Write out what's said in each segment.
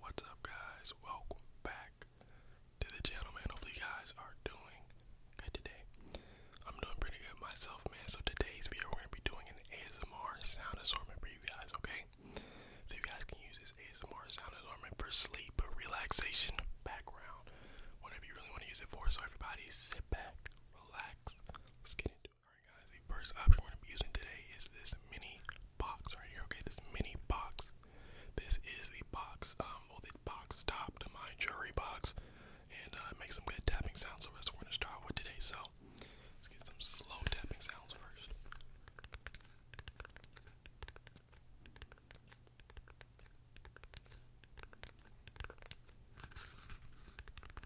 What's up, guys? Welcome back to the channel, man. Hopefully, you guys are doing good today. I'm doing pretty good myself, man. So, today's video, we're going to be doing an ASMR sound assortment for you guys, okay? So, you guys can use this ASMR sound assortment for sleep, relaxation, background, whatever you really want to use it for. So, everybody, sit back, relax, let's get into Alright guys, the first option we're going to be using today is this mini box right here, okay? This mini box. This is the box, um, well the box top to my jewelry box. And uh, it makes some good tapping sounds, so that's what we're going to start with today. So, let's get some slow tapping sounds first.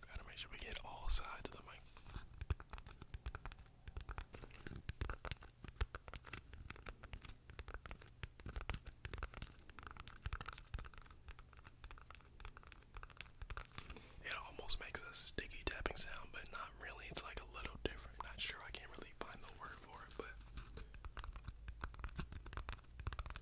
Gotta make sure we get all sides of the mic. It almost makes a sticky tapping sound, but not really. It's like a little different. Not sure I can't really find the word for it, but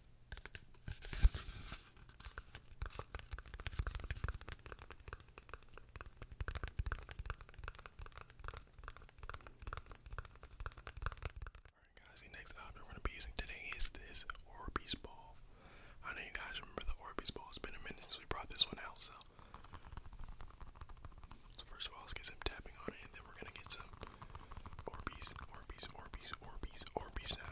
Alright guys, the next object we're gonna be using today is this Orbeez ball. I know you guys remember the Orbeez ball. It's been a minute since we brought this one out, so first of all, let's get some tapping on it, and then we're gonna get some Orbeez, Orbeez, Orbeez, Orbeez, Orbeez sound.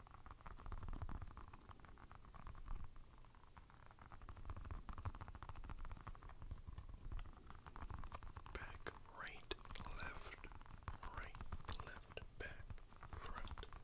Back, right, left, right, left, back, front. Back,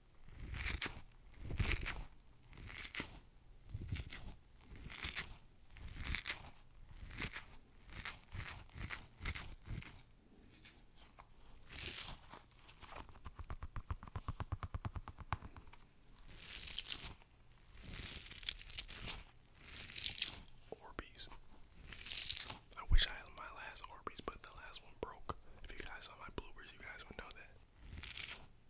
Orbeez. I wish I had my last Orbeez, but the last one broke. If you guys saw my bloopers, you guys would know that.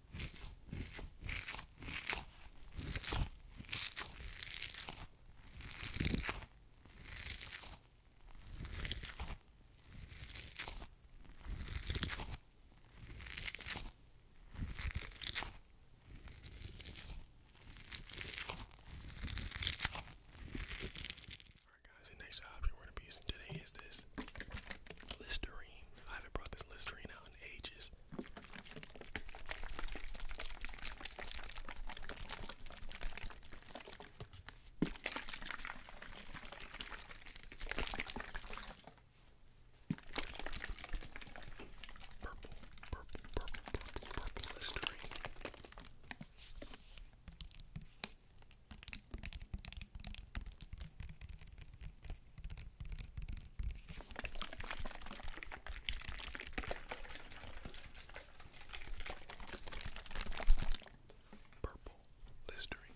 Alright guys, the next object we're gonna be using today is this Listerine. I haven't brought this Listerine out ages. Purple Listerine.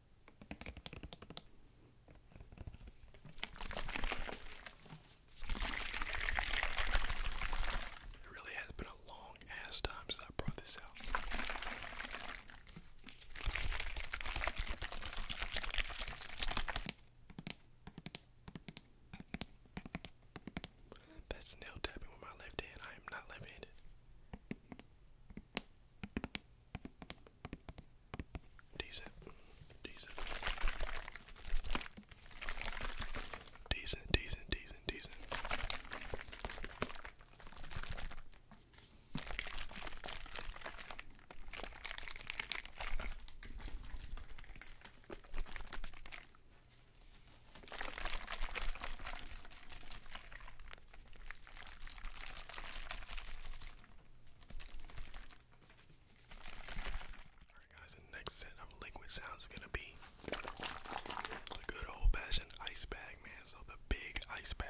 It really has been a long ass time since I brought this out. That's nail tapping with my left hand. I am not left handed. Decent. Decent. Decent, decent, decent, decent. Alright guys, the next set of liquid sounds is gonna be a good old fashioned ice bag, man. So the big ice bag.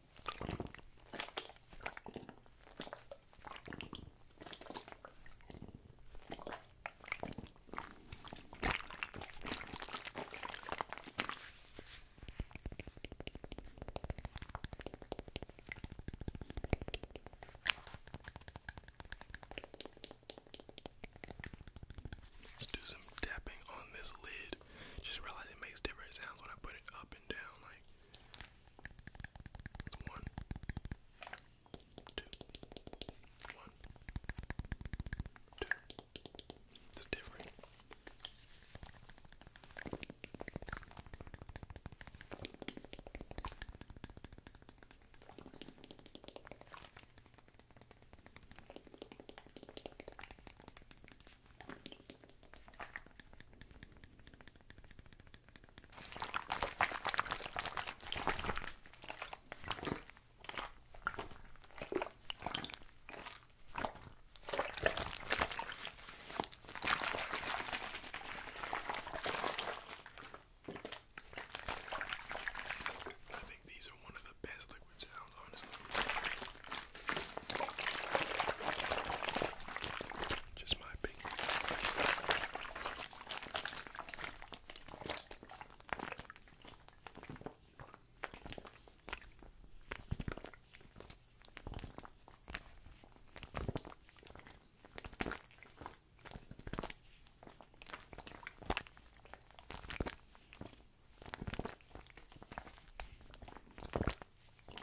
Let's do some tapping on this lid. Just realize it makes different sounds when I put it up up and down like one, two, one, two. It's different. I think these are one of the best liquid sounds, honestly. Just my opinion.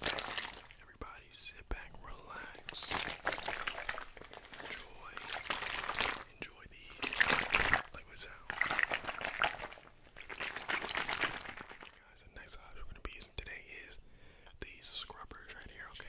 Everybody sit back, relax, enjoy, enjoy these liquid Guys, the next item we're gonna be using today is these scrubbers right here, okay?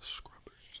Scrubbers.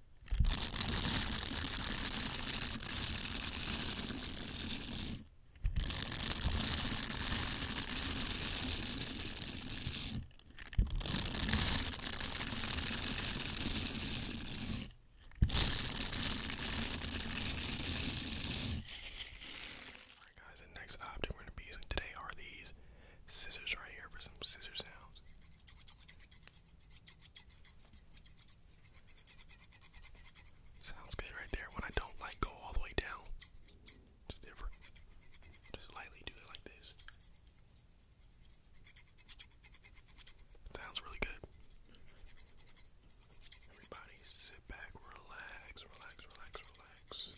Alright guys, the next object we're gonna be using today are these scissors right here for some scissors sounds. Sounds good right there. When I don't like go all the way down. It's different. Just lightly do it like this. Sounds really good. Everybody sit back, relax, relax, relax, relax.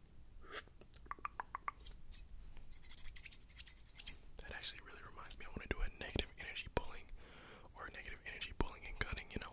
That actually really reminds me. I want to do a negative energy pulling or negative energy pulling and cutting, you know.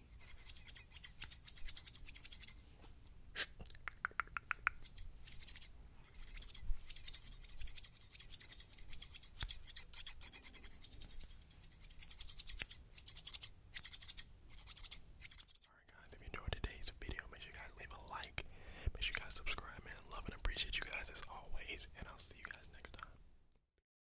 Alright guys, if you enjoyed today's video, make sure you guys leave a like. Make sure you guys subscribe, man. Love and appreciate you guys as always, and I'll see you guys next time.